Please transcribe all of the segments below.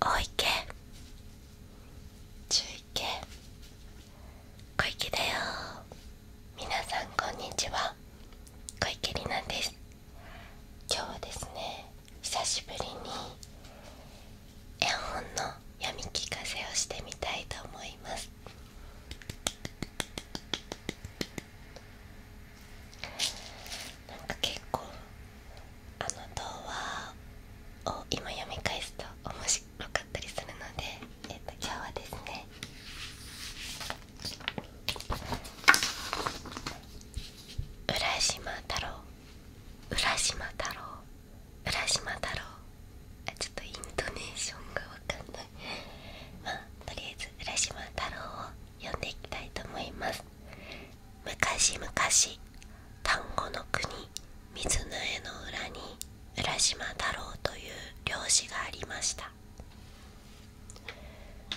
大池中池小池だよ皆さんこんにちは小池里奈です今日はですね久しぶりに絵本の読み聞かせをしてみたいと思いますなんか結構あの童話を今読み返すと面白かったりするので、えっと、今日はですね浦島太郎浦島太郎浦島太郎あちょっとイントネーションが分かんないまあとりあえず浦島太郎を呼んでいきたいと思います昔々丹後の国水の絵の裏に浦島太郎という漁師がありました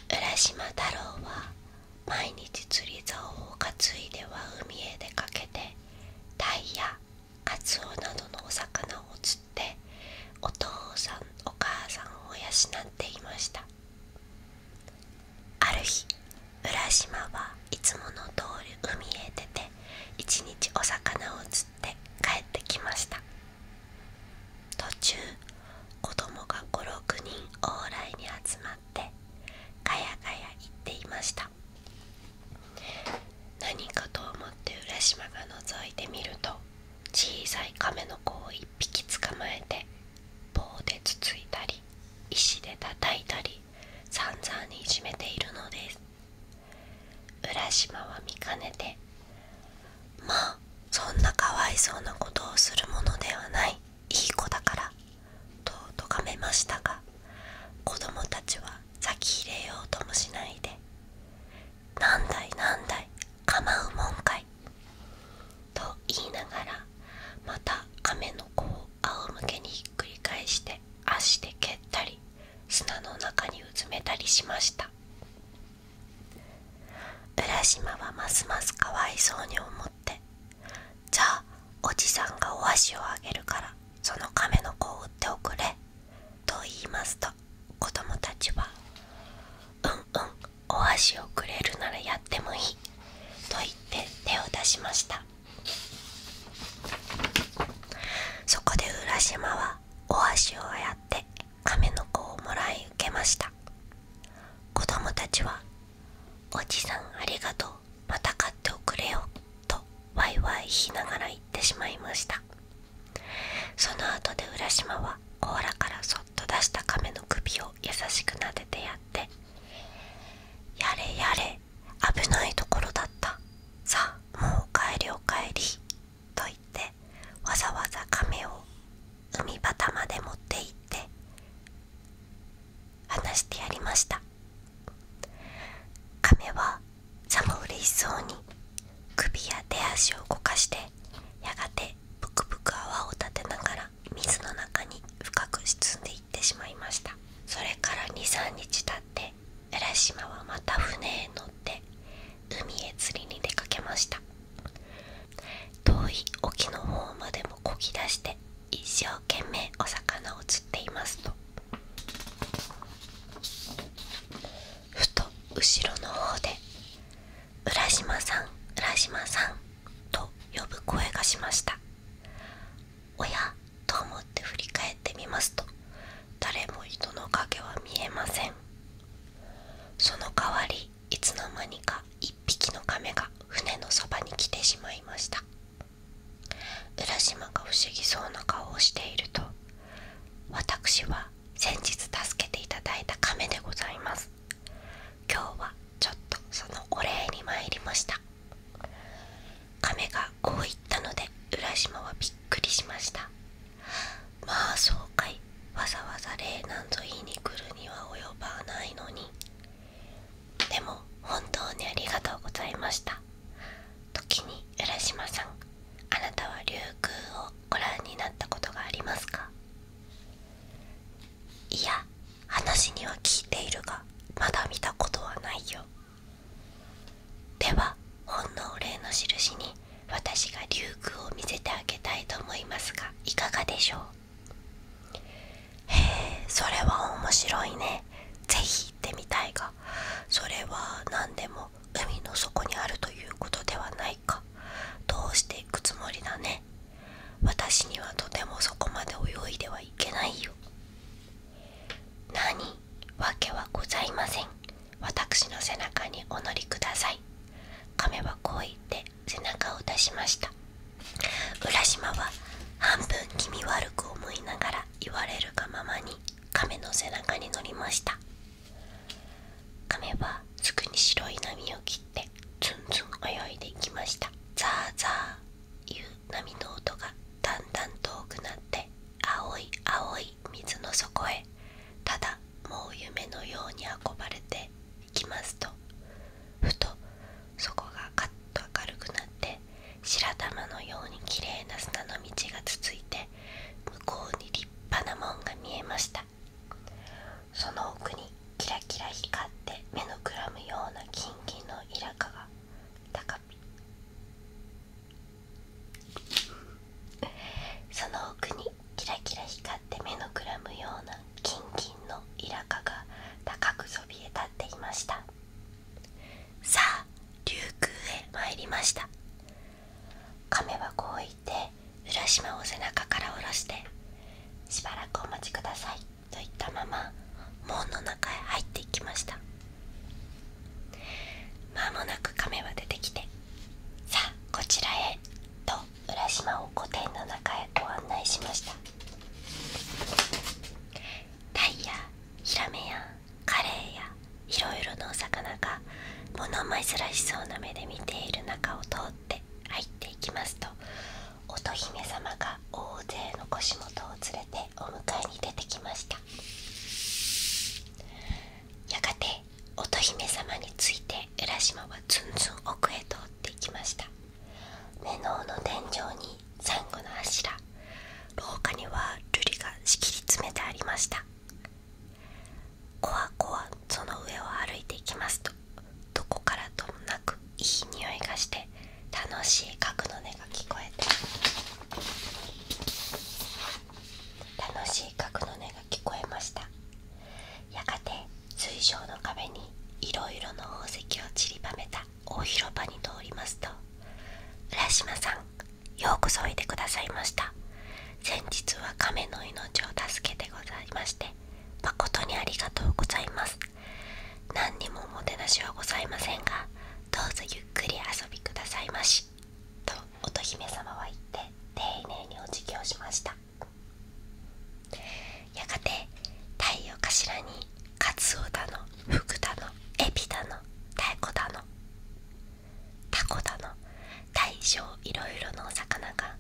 浦島太郎は毎日釣り竿を担いでは海へ出かけてタイやカツオなどのお魚を釣しお父さんお母さんを養っていましたある日浦島はいつもの通り海へ出て一日お魚を釣って帰ってきました途中子供が56人往来に集まってガヤガヤ言っていました何かと思って浦島が覗いてみると小さい亀の子を1匹捕まえて棒でつついたり石で叩いたり散々にいじめているのです浦島は見かねて「まあそんなかわいそうなことをするものではないいい子だから」ととがめましたが子供たちは先入れようともしないでなんだいなんだい構うもんかい」と言いながらまた亀の子を仰向けにひっくり返して足で蹴ったり砂の中にうずめたりしました浦島はますますかわいそうに思って「じゃあおじさんがお足をあげるからその亀の子を売っておくれ」と言いますと子供たちは「うんうんお箸をくれるならやってもいい」と言って手を出しましたそこで浦島はお箸をあやって亀の子をもらい受けました子供たちは「おじさんありがとうまた買っておくれよ」とワイワイ言いながら言ってしまいましたその後で浦島は甲羅からそっと出した亀の首を優しく撫でてやって「やれやれ危ないところだったさあもう帰りお帰り」と言ってわざわざ亀を海端まで持って行って話してやりました亀はさも嬉しそうに首や手足を動かしてやがてぷくぷく泡を立てながら水の中に深く沈んでいってしまいましたそれから23日経って浦島はまた船へ乗って海へ釣りに出かけました遠い沖の方までもこぎ出して一生懸命お魚を釣っていますとふと後ろの方で「浦島さん浦島さん」と呼ぶ声がしましたおやと思って振り返ってみますと誰も糸の影は見えませんその代わりいつの間にか1匹の亀が船のそばに来てしまいました浦島が不思議そうな顔をしていると私は先日助けていただいた亀でございます今日はちょっとそのお礼に参りました亀がこう言ったので浦島はびっくりしましたまあそうかいわざわざ礼なんぞ言いに来るには及ばないのにでも本当にありがとうございました時に浦島さんあなたは琉球をご覧になったことがありますかいや話には聞いているがまだ見たことはないよではほのお礼の印に私が琉球を見せてあげたいと思いますがいかがでしょうへえそれは面白いねぜひ行ってみたいがそれは何でも海の底にあるということではないかどうしていくつもりだね私にはとてもそこまで泳いではいけないよ何わけはございません私の背中にお乗りください亀はこう言って背中を出しました浦島は半分気味悪く思いながら言われるがままに亀の背中に乗りました亀はすぐに白い波を切ってツンツン泳いでいきましたザーザーいう波の音がだんだん遠くなって青い青い水の底へただもう夢のように運ばれていきますとふとそこがカッと明るくなって白玉のようにきれいな砂の道が続いて向こうに立派なもんが見えましたその奥にキラキラ光って目のくらむような金銀のイがその奥にキラキラ光って目のくらむような金銀のイが高くそびえ立っていましたさあ琉球へ参りました亀はこう言って浦島を背中から下ろして「しばらくお待ちください」と言ったまま門の中へ入っていきました間もなく亀は出てきて「さあこちらへ」と浦島を御殿の中へご案内しましたタイやヒラメやカレーやいろいろなお魚が物らしそうな目で見ている中を通って入っていきますと乙姫様が大勢の腰元を連れてお迎えに出てきましたやがて乙姫様について浦島はずんずん奥へ通っていきました目の尾の天井にサンゴの柱廊下には瑠璃がしきり詰めてありましたこわこわその上を歩いていきますとどこからともなくいい匂いがして楽しい角の音が聞こえて楽しい角の音が聞こえましたやがて水晶の壁にいろいろの宝石をちりばめた大広場に通りますと「浦島さんようこそおいでくださいました先日は亀の命を助けてございまして誠にありがとうございます何にもおもてなしはございませんがどうぞゆっくり遊びくださいましと乙姫様は言って丁寧にお辞儀をしましたやがて太陽頭にカツオだの福だのエビだの太鼓だのタコだの大小いろいろのお魚が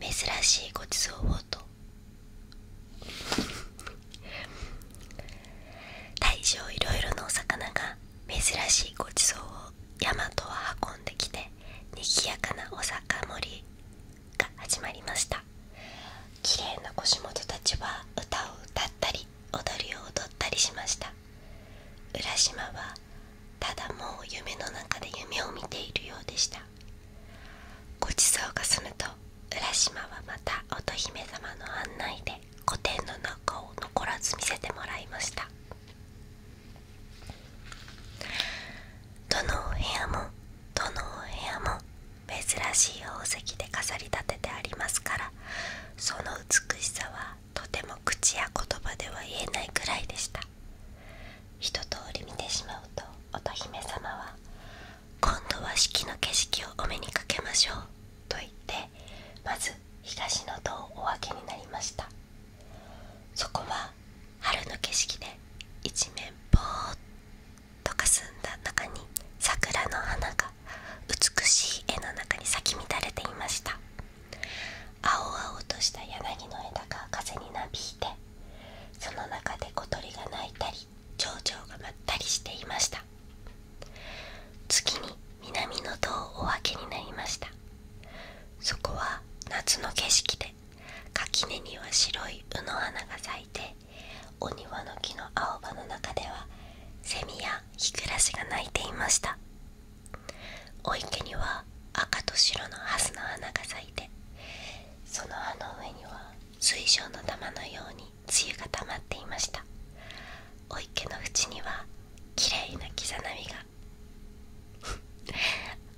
珍しいごちそうをと大小いろいろのお魚が珍しいごちそうを大和は運んできてにぎやかなお酒盛りが始まりました綺麗な腰元たちは歌を歌ったり踊りを踊ったりしました浦島はただもう夢の中で夢を見ているようでしたごちそうが済むと浦島はまた乙姫様の案内で御殿の中を残らず見せてもらいましたどのお部屋もどのお部屋も珍しい宝石で飾り立ててありますからその美しさはとても口や言葉では言えないくらいでした一通り見てしまうと乙姫様は「今度は四季の景色をお目にかけましょう」と言ってまず東の戸をお開けになりましたそこは春の景色で一面ぼーっとかすんだ中に桜の花が美しい絵の中に咲き乱れていました青々とした柳の枝が風になびいてその中で小鳥が鳴いたり蝶々が舞ったりしていました次に南の塔をお開けになりましたそこは夏の景色で垣根には白い卯の花が咲いてお庭の木の青葉の中ではセミやヒクラシが鳴いていましたお池には赤と白のハスの花が咲いてその葉の上には水晶の玉のように露が溜まっていましたお池の縁にはきれいな刻み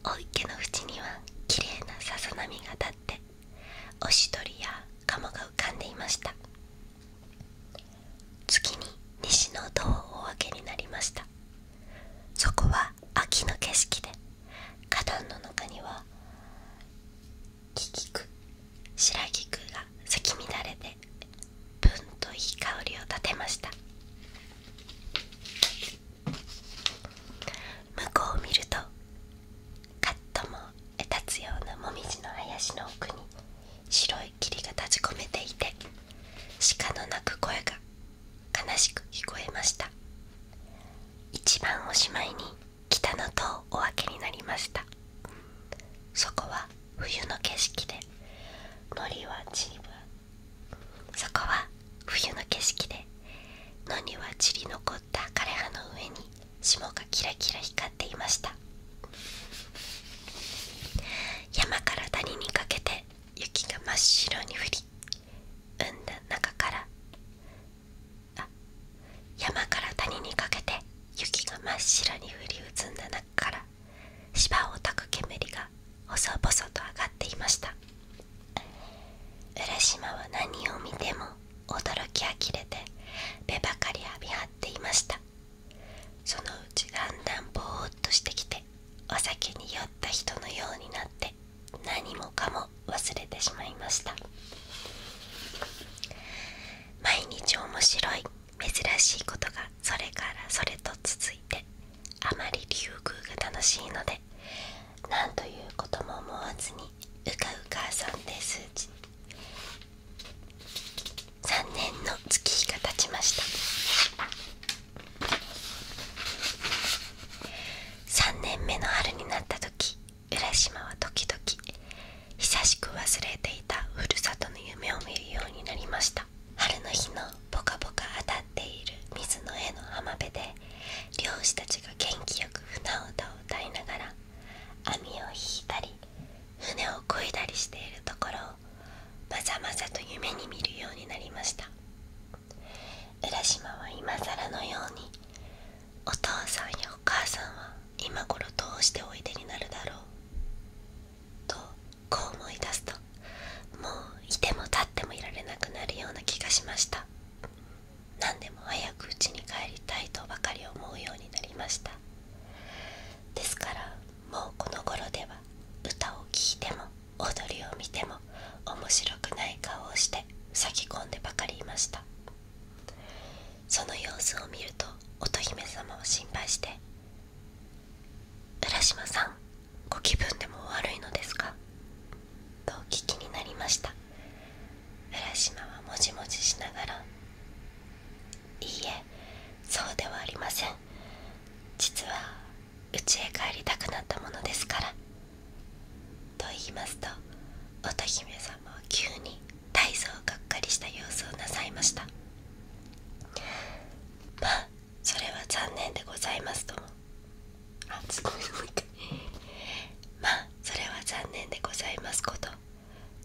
が お池の縁にはきれなさ波が立っておしどりや鴨が浮かんでいました次に西の戸をお開けになりましたそこは秋の景色で花壇の中には木菊白菊が咲き乱れてぶんといい香りを立てました向こうを見るとカットもえ立つようなもみじの林の奥に白い霧が立ち込めていて鹿の鳴く声が悲しく聞こえました一番おしまいに北の戸をお開けになりましたそこは冬の景色で森はちりばそこは冬の景色で野には散り残った枯葉の上に霜がキラキラ光っていました山から谷にかけて雪が真っ白に降り産んだ中からあ山から谷にかけて雪が真っ白に降りうつんだ中から芝をたく煙が細々と上がっていました浦島は何を見ても驚き呆れて目ばかり浴びはっていましたそのうちだんだんぼーっとしてきてお酒に酔った人のようになって何もかも忘れてしまいました毎日面白い珍しいことがそれからそれと続いてあまりりゅ竜宮が楽しいので何ということも思わずにうかうかさんですうち3年の月日が経ちました3年目の春になった時浦島は時々久しく忘れていたふるさとの夢を見るようになりました春の日のポカポカ当たっている水の絵の浜辺で漁師たちが元気よく船歌を歌いながら網を引いたり船をこいだりしているところをまざまざと夢に見るようになりました浦島は今更のようにお父さんやお母さんは今頃どうしておいでになるだろうとこう思い出すともういても立ってもいられなくなるような気がしました何でも早く家に帰りたいとばかり思うようになりましたですからもうこの頃では歌を聴いても踊りを見ても面白くない顔をして咲き込んでばかりいましたその様子を見ると乙姫様を心配して「浦島さんご気分でも悪いのですか?」とお聞きになりました浦島はもじもじしながら「いいえそうではありません実は家へ帰りたくなったものですから」と言いますと乙姫様は急に大層がっかりした様子をなさいましたまあそれは残念でございますともあすごいすごいまあそれは残念でございますこと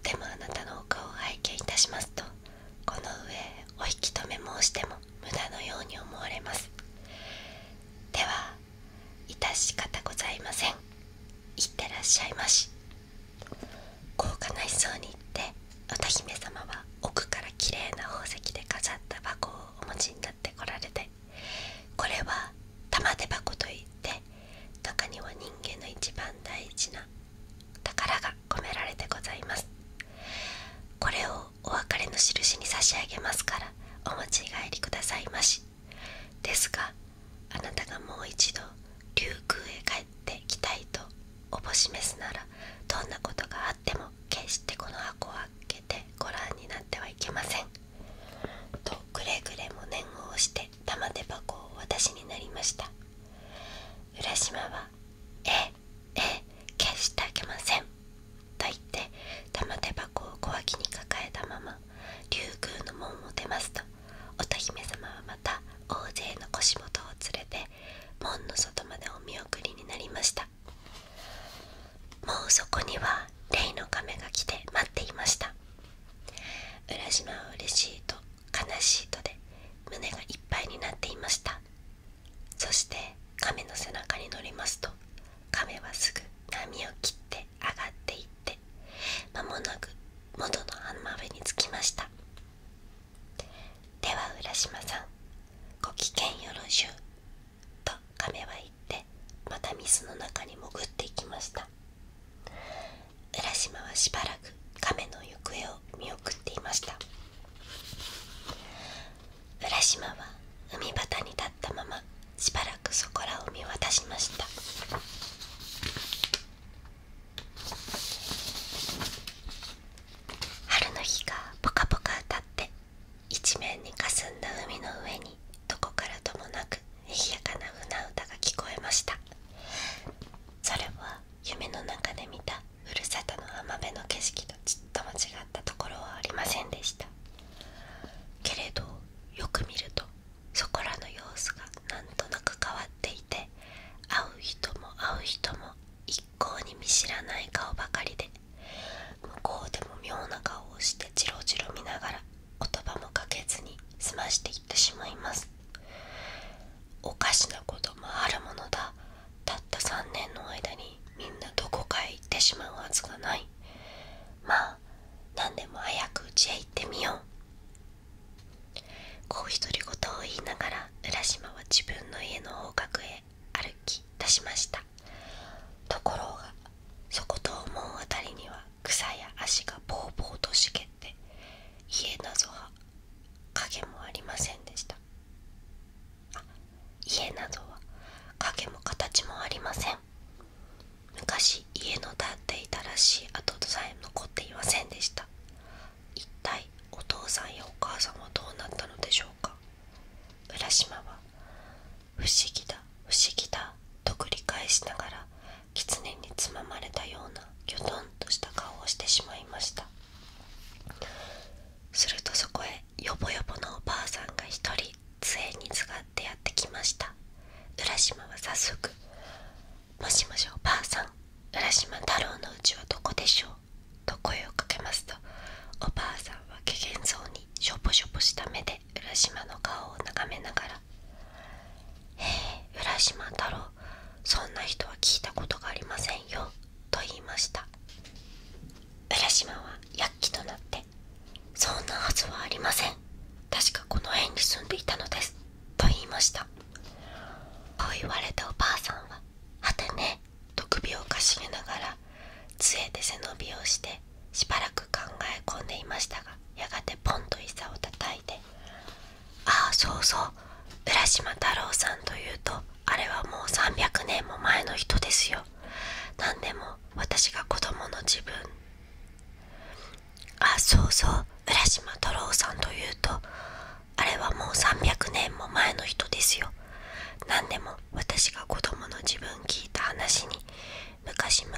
でもあなたのお顔を拝見いたしますとこの上お引き止め申しても無駄のように思われますでは致し方ございません行ってらっしゃいまし高価なそうに行って歌姫様は奥からきれいな宝石で飾った箱をお持ちになってこられてこれは玉手箱といって中には人間の一番大事な宝が込められてございますこれをお別れの印に差し上げますからお持ち帰りくださいましですがあなたがもう一度竜宮へ帰ってきたいとおぼしめすならどんなことがあっても決してこの箱を開けてご覧になってはいけませんとくれぐれも念を押して玉手箱を私になりました浦島は「ええ消してあげません」と言って玉手箱を小脇に抱えたまま竜宮の門を出ますと乙姫様はまた大勢の腰元を連れて門の外までお見送りになりましたもうそこにはレイの亀が来て待っていました浦島は嬉しいと悲しいとで胸がいっぱいになっていましたそして亀の背中に乗りますと亀はすぐ波を切って上がっていって間もなく元の浜辺に着きましたでは浦島さんごきげんよろしゅうと亀は行また水の中に潜っていきました浦島はしばらく亀の行方を見送っていました浦島は海端に立ったまましばらくそこらを見渡しました春の日がぽかぽか当たって一面にかすんだ海の上にどこからともなくにやかな船歌が聞こえましたそれは夢の中で見たふるさとの浜辺の景色とちっとも違ったところはありませんでしたけれどよく見るとそこらの様子がなんとなく変わっていて会う人も会う人も一向に見知らない顔ばかりで向こうでも妙な顔をしてジロジロ見ながら言葉もかけずに済ましていってしまいますおかしなこともあるものだたった3年の間にみんなどこかへ行ってしまうはずがないまあ何でも早くうちへ行ってみようこう独り言を言いながら浦島は自分の家の方角へ歩き出しましたところがそことうあたりには草や足がぼうぼうと茂って家なぞは影もありませんでしたあ家などは影も形もありません昔家の建っていたらしい跡さえ残っていませんでした一体お父さんやお母さんはどうなったのでしょうか浦島は不思議だ不思議だと繰り返しながら狐につままれたようなギョトンとした顔をしてしまいましたするとそこへよぼよぼのおばあさんが一人杖にすがってやってきました浦島は早速「もしもしおばあさん浦島太郎のうちはどこでしょう?」と声をかけますとおばあさんはけげんそうにしょぼしょぼした目で浦島の顔を眺めながら「へえ浦島太郎そんな人は聞いたことがありませんよ」と言いました浦島は躍起となって「そんなはずはありません確かこの辺に住んでいたのです」と言いましたこう言われたおばあさんは「はてね」と首をかしげながら杖で背伸びをしてしばらく考え込んでいましたがやがてポンと膝をたたいて「ああそうそう浦島太郎さんというとあれはもう300年も前の人ですよ何でも私が子供の自分あそうそう浦島太郎さんというとあれはもう300年も前の人ですよ何でも私が子供の自分聞いた話に昔々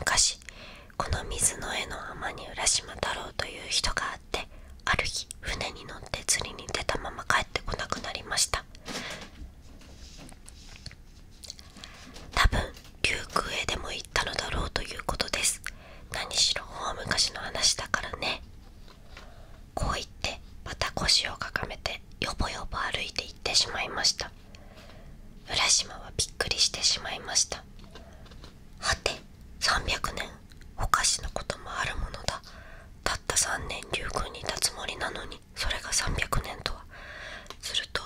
この水の絵の浜に浦島太郎という人があってある日船に乗って釣りに出たまま帰ってこなくなりました多分竜宮へでも行ったのだろうということですなにしろ大昔の話だからねこう言ってまた腰をかかめてよぼよぼ歩いて行ってしまいました浦島はびっくりしてしまいましたはて300年お菓子のこともあるものだたった3年竜宮にいたつもりなのにそれが300年とはすると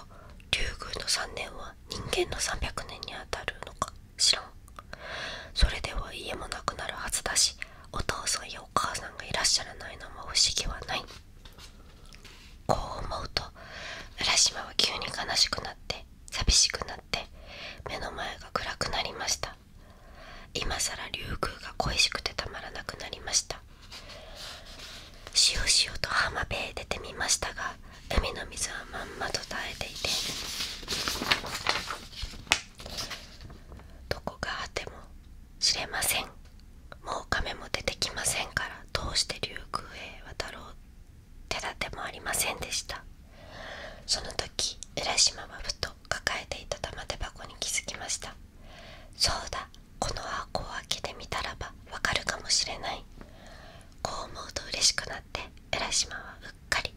竜宮の3年は人間の300年にあたるのか知らんそれでは家もなくなるはずだしお父さんやお母さんがいらっしゃらないのも不思議はないこう思うと浦島は急に悲しくなって寂しくなって目の前が暗くなりました今さら竜宮が恋しくてたまらなくなりましたしおしおと浜辺へ出てみましたが海の水はまんまと耐えていてどこがあっても知れませんもう亀も出てきませんからどうして竜宮へ渡ろう手立てもありませんでしたその時浦島はふと抱えていた玉手箱に気づきましたそうだこの箱を開けてみたらばわかるかもしれないこう思うと嬉しくなって浦島はうっかり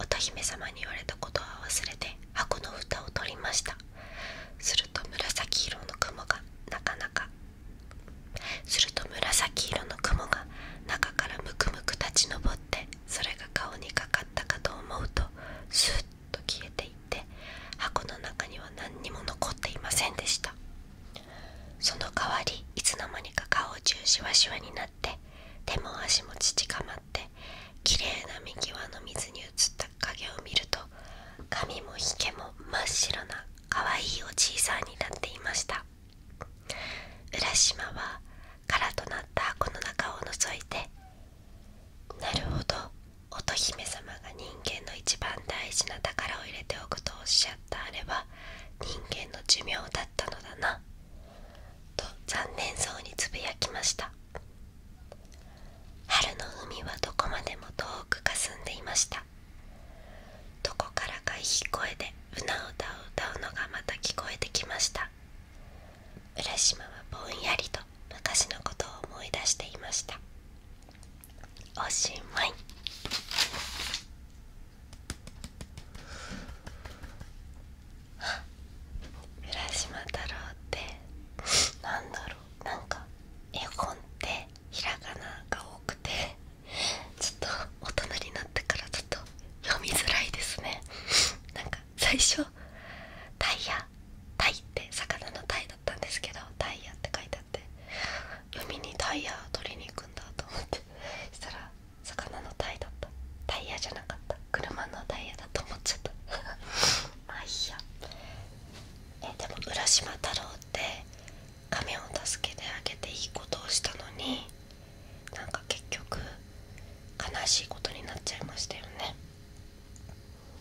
乙姫様に言われたことは忘れて箱の蓋を取りましたすると紫色の雲がなかなかすると紫色の雲が中からムクムク立ち上ってそれが顔にかかったかと思うとスーッと消えていって箱の中には何にも残っていませんでしたその代わりいつの間にか顔中しわしわになって手も足も乳かまってきれいな見際の水に映った影を見ると髪もひけも真っ白なかわいいおじいさんになっていました浦島は空となったこの中を覗いて「なるほど乙姫様が人間の一番大事な宝を入れておくとおっしゃったあれは人間の寿命だったのだな」と残念そうにつぶやきました春の海はどこまでも遠くかすんでいましたどこからかいい声でうなうたを歌うのがまた聞こえてきました浦島はぼんやりと昔のことを思い出していましたおしまい浦島太郎ってなんだろうなんか絵本ってひらがなが多くてちょっと大人になってからちょっと読みづらいですねなんか最初タイヤタイって魚のタイだったんですけどタイヤって書いてあって読みにタイヤ取りに行くんだと思ってそしたら魚のタイだったタイヤじゃなかった車のタイヤだと思っちゃった あいいやえでも浦島太郎って亀を助けてあげていいことをしたのになんか結局悲しいことになっちゃいましたよね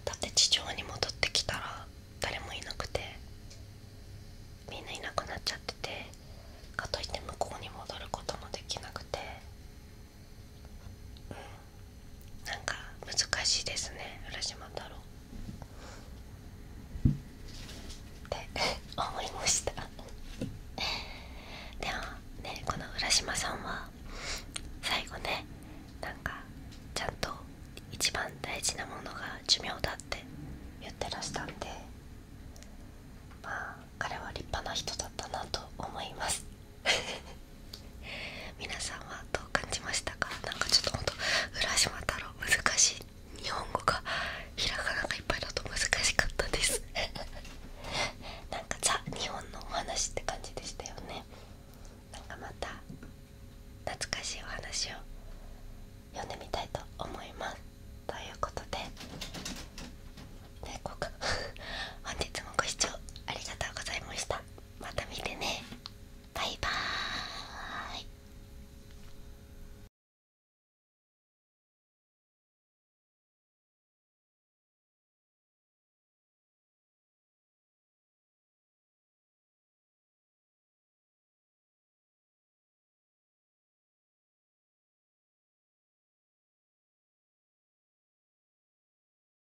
だって地上に戻ってきたら誰もいなくてみんないなくなっちゃっててかといって向こうに戻ることもできなくてうんなんか難しいですね浦島太郎って思いましたでもねこの浦島さんは最後ねなんかちゃんと一番大事なものが寿命だって言ってらしたんでまあ彼は立派な人だったなと思います 皆さんはどう感じましたかなんかちょっとほんと浦島太郎難しい日本語がひらがながいっぱいだと難しかったです なんかザ日本のお話って感じでしたよねなかまた懐かしいお話を読んでみたいと思いますということでねこう 本日もご視聴ありがとうございましたまた見てねバイバーイ